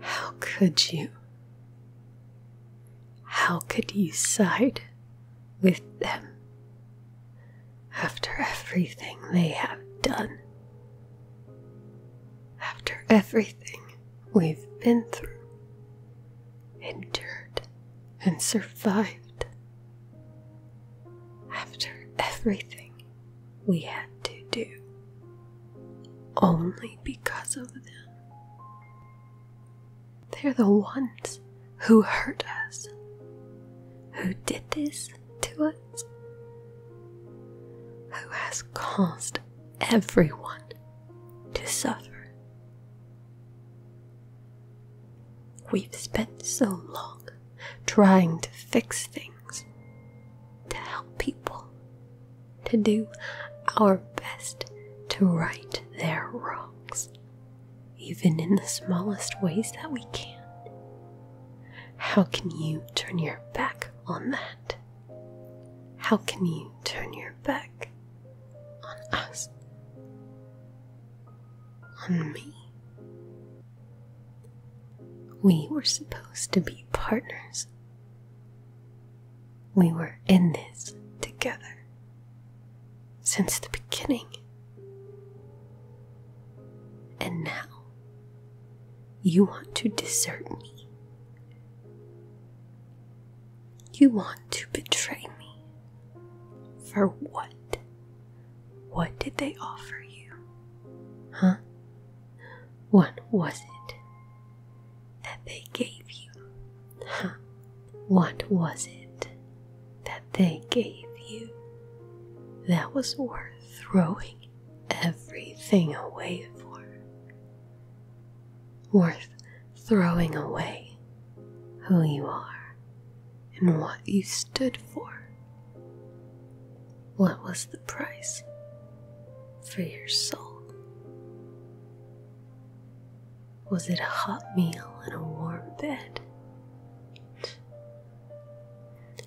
How could you? How could you side with them after everything they have done? After everything we've been through, endured, and survived? After everything we had to do only because of them. They're the ones who hurt us, who did this to us, who has caused everyone to suffer. We've spent so long trying to fix things, to help people, to do our best to right their wrongs, even in the smallest ways that we can. How can you turn your back on that? How can you turn your back on us? On me? We were supposed to be partners. We were in this together since the beginning. And now you want to desert me. You want to betray me. For what? What did they offer you? Huh? What was it that they gave you? Huh? What was it that they gave you that was worth throwing everything away for? Worth throwing away who you are and what you stood for. What was the price for your soul? Was it a hot meal and a warm bed?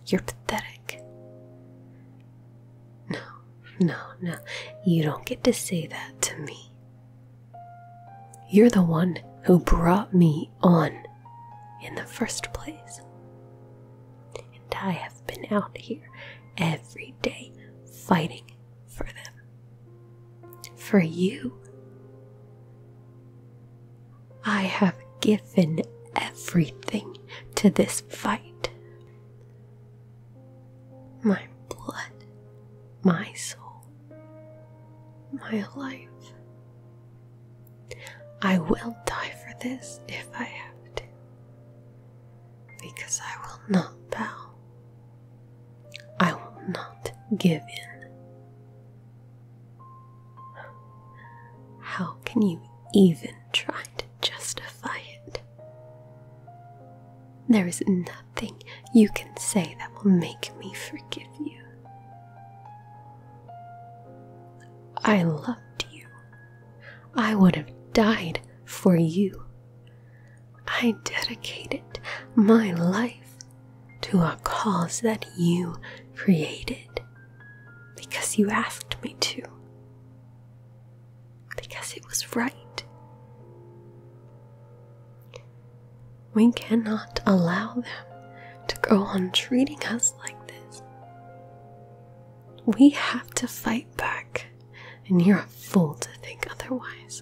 You're pathetic. No, no, no. You don't get to say that to me. You're the one who brought me on in the first place. And I have been out here every day fighting for them. For you. I have given everything to this fight my blood, my soul, my life. I will die for this if I have to, because I will not bow. I will not give in. How can you even try to? justify it. There is nothing you can say that will make me forgive you. I loved you. I would have died for you. I dedicated my life to a cause that you created because you asked me to because it was right. We cannot allow them to go on treating us like this. We have to fight back, and you're a fool to think otherwise.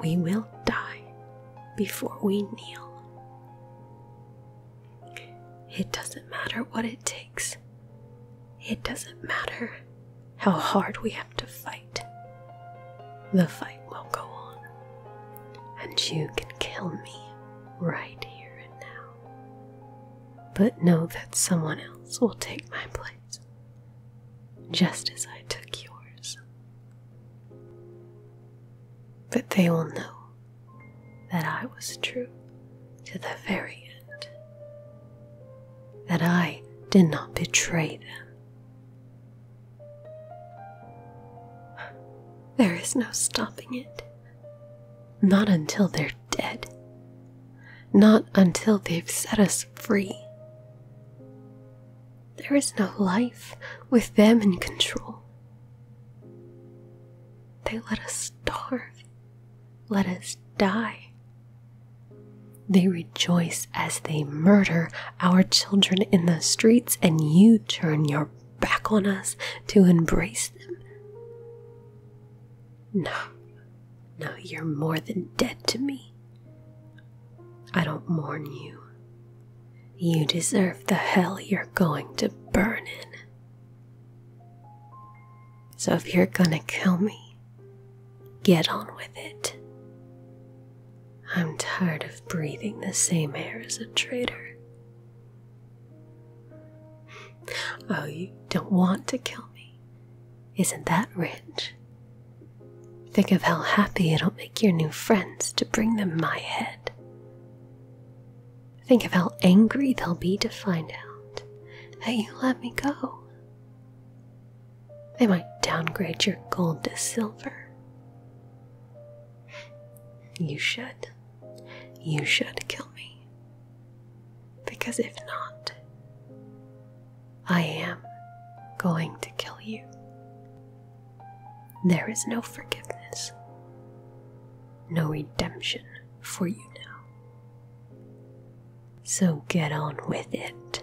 We will die before we kneel. It doesn't matter what it takes. It doesn't matter how hard we have to fight. The fight will go on. And you can kill me right here and now. But know that someone else will take my place, just as I took yours. But they will know that I was true to the very end, that I did not betray them. There is no stopping it. Not until they're dead. Not until they've set us free. There is no life with them in control. They let us starve, let us die. They rejoice as they murder our children in the streets, and you turn your back on us to embrace them. No, no, you're more than dead to me. I don't mourn you. You deserve the hell you're going to burn in. So if you're gonna kill me, get on with it. I'm tired of breathing the same air as a traitor. Oh, you don't want to kill me? Isn't that rich? Think of how happy it'll make your new friends to bring them my head. Think of how angry they'll be to find out that you let me go. They might downgrade your gold to silver. You should. You should kill me. Because if not, I am going to kill you. There is no forgiveness, no redemption for you now. So get on with it.